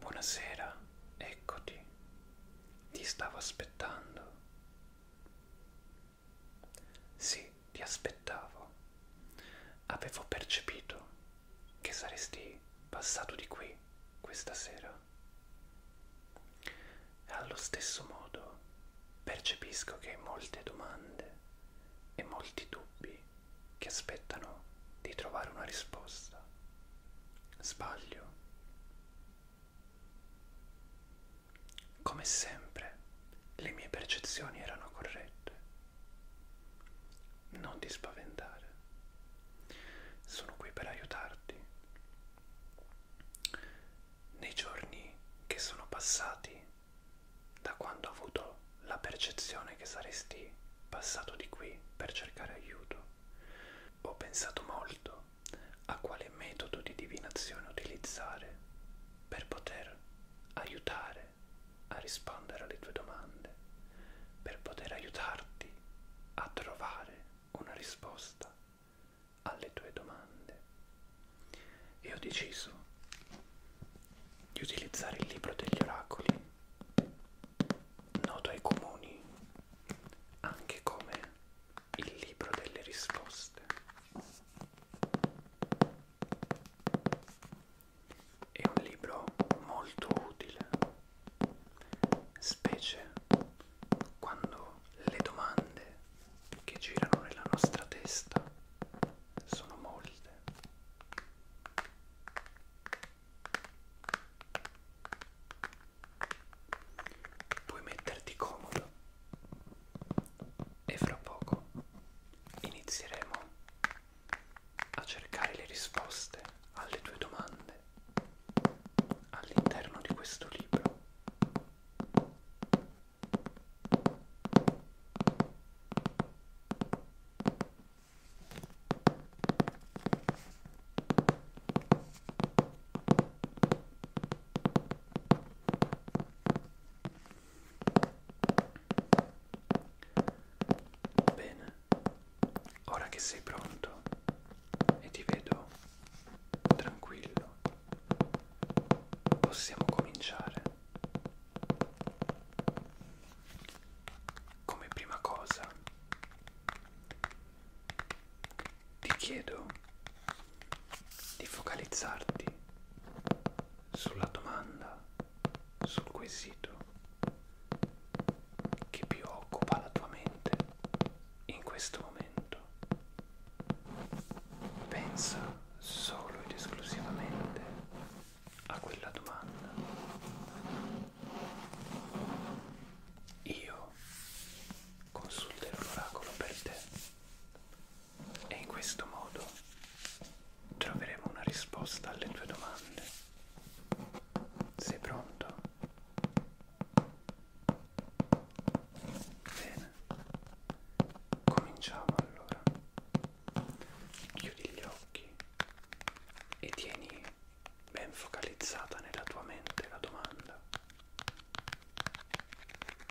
Buonasera, eccoti, ti stavo aspettando. Sì, ti aspettavo. Avevo percepito che saresti passato di qui questa sera. Allo stesso modo percepisco che molte domande e molti dubbi che aspettano di trovare una risposta. Sbaglio. Come sempre, le mie percezioni erano corrette. Non ti spaventare. Sono qui per aiutarti. Nei giorni che sono passati da quando ho avuto la percezione che saresti passato di qui per cercare aiuto. Ho pensato molto a quale metodo di divinazione utilizzare per poter aiutare a rispondere alle tue domande, per poter aiutarti a trovare una risposta alle tue domande. E ho deciso di utilizzare il libro degli oracoli noto ai comuni anche come il libro delle risposte. È un libro molto utile, specie quando le domande che girano nella nostra testa sono molte. Puoi metterti comodo e fra poco inizieremo a cercare le risposte alle tue domande all'interno di questo libro. Bene, ora che sei pronto e ti vedo tranquillo, possiamo cominciare come prima cosa ti chiedo di focalizzarti sulla domanda, sul quesito che più occupa la tua mente in questo momento. Pensa solo ed esclusivamente a quella domanda. Io consulterò l'oracolo per te e in questo modo troveremo una risposta alle tue domande. Sei pronto? Bene, cominciamo allora. Chiudi gli occhi e tieni ben focalizzata nella tua mente la domanda.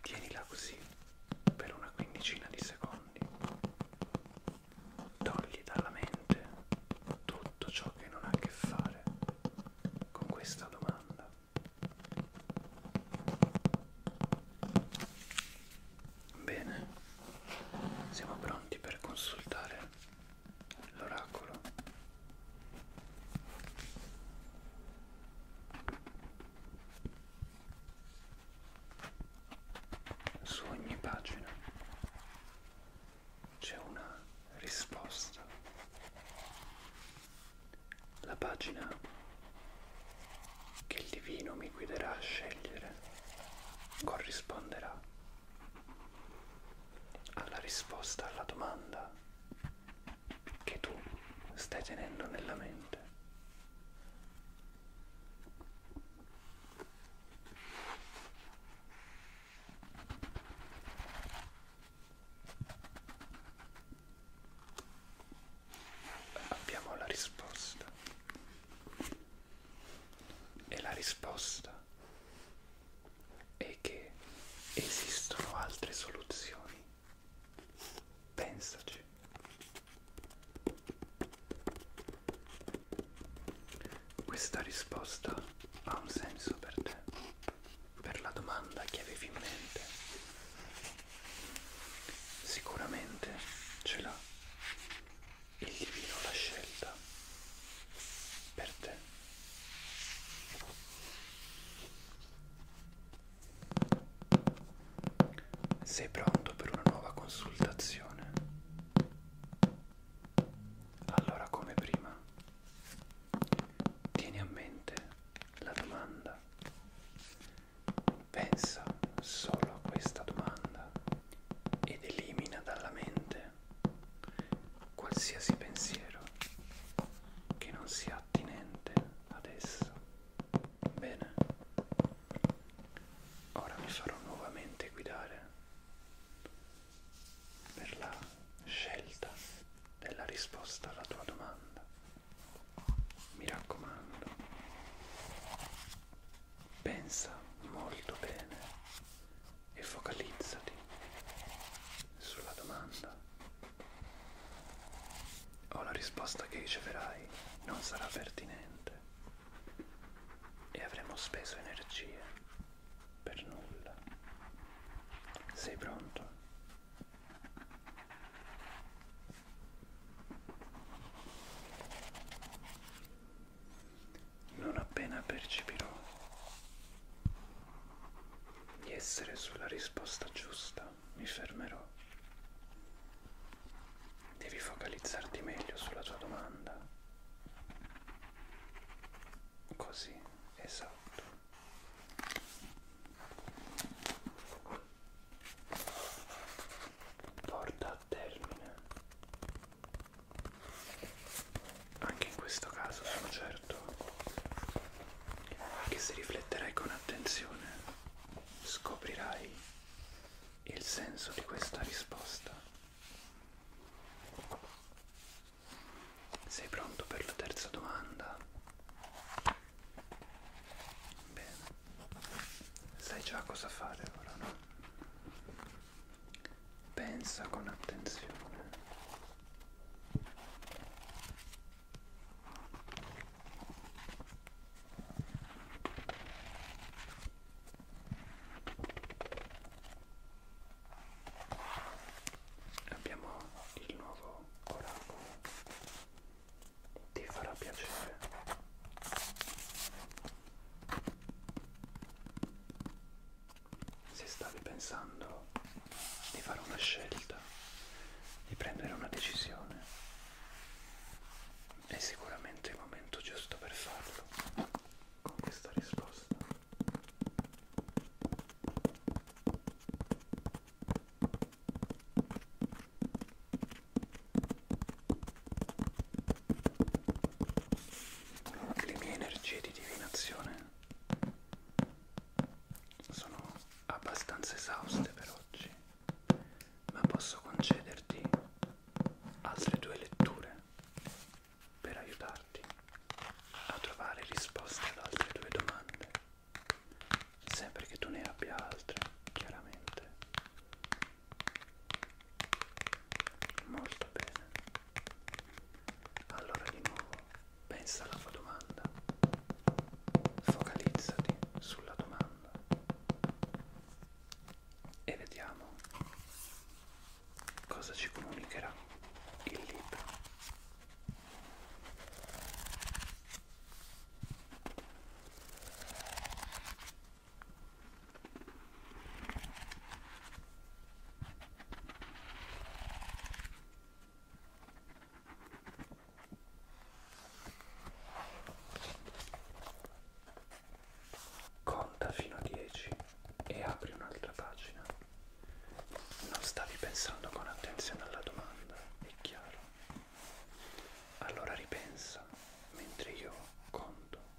Tienila così per una quindicina di secondi. Togli dalla mente tutto ciò che non ha a che fare con questa domanda. Bene, siamo pronti per consultare l'oracolo su ogni pagina c'è una risposta la pagina che il divino mi guiderà a scegliere corrisponderà alla risposta alla domanda che tu stai tenendo nella mente. Abbiamo la risposta. E la risposta è che esistono altre soluzioni. Pensaci. Questa risposta ha un senso per te, per la domanda che avevi in mente. Sicuramente ce l'ha il divino la scelta per te. Sei pronto per una nuova consultazione? Allora come prima, tieni a mente la domanda. Pensa solo a questa domanda ed elimina dalla mente qualsiasi pensiero che non sia attinente ad esso. Bene, ora mi farò nuovamente guidare per la scelta della risposta alla tua domanda. Mi raccomando, Pensa molto bene e focalizzati sulla domanda. O la risposta che riceverai non sarà pertinente e avremo speso energie per nulla. Sei pronto? non appena percepirò di essere sulla risposta giusta, mi fermerò. Devi focalizzarti meglio sulla tua domanda. Così, esatto. Porta a termine anche in questo caso sono certo che se rifletterai con attenzione scoprirai il senso di questa risposta. Sei pronto per la terza domanda? Bene, sai già cosa fare ora, no? pensa con attenzione abbiamo il nuovo oracolo ti farà piacere se stavi pensando di fare una scelta, di prendere una decisione, è sicuramente il momento giusto per farlo con questa risposta. Anche le mie energie di divinazione sono abbastanza esauste per oggi, ma posso concederti altre due letture per aiutarti a trovare risposte ad altre due domande sempre che tu ne abbia altre chiaramente molto bene allora di nuovo pensa alla tua domanda focalizzati sulla domanda e vediamo cosa ci comunicherà il libro Conta fino a 10 e apri un'altra pagina. Non stavi pensando con attenzione alla domanda, è chiaro. Allora ripensa mentre io conto.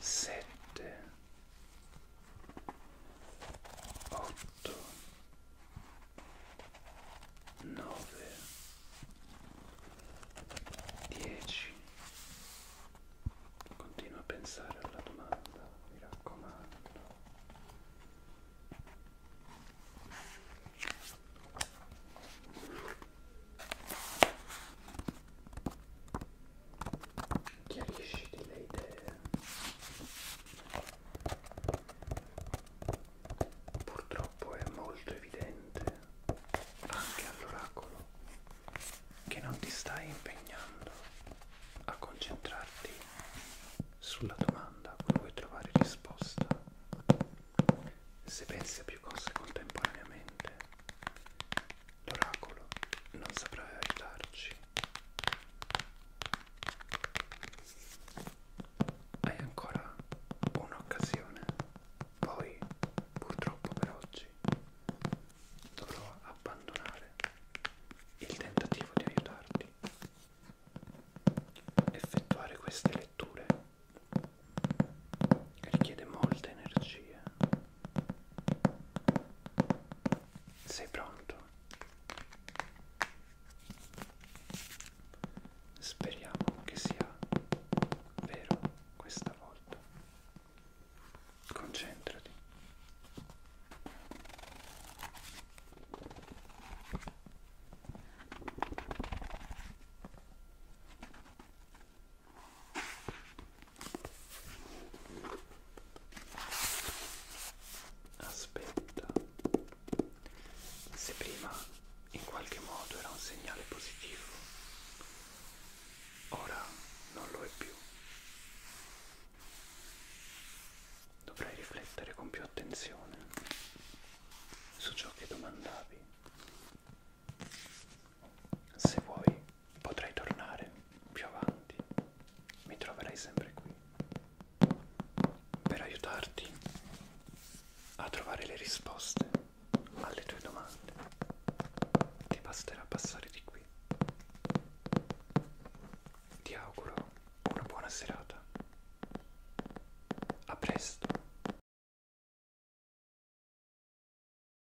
sette, otto, nove, dieci. Continua a pensare alla domanda, mi raccomando chiarisciti le idee. Purtroppo è molto evidente anche all'oracolo che non ti stai impegnando a concentrarti sulla domanda a cui vuoi trovare risposta. Se pensi a più cose contemporaneamente, L'oracolo non saprà aiutarci. Hai ancora un'occasione. Poi, purtroppo per oggi, dovrò abbandonare il tentativo di aiutarti. Effettuare queste letture richiede molta energia sei pronto? Speriamo che sia vero questa volta. Concentrati. Aspetta, se prima in qualche modo era un segnale positivo, ora non lo è più. Dovrai riflettere con più attenzione su ciò che domandavi. Se vuoi potrai tornare più avanti, mi troverai sempre qui per aiutarti a trovare le risposte alle tue domande. Ti basterà passare di qui. Ti auguro una buona serata. A presto.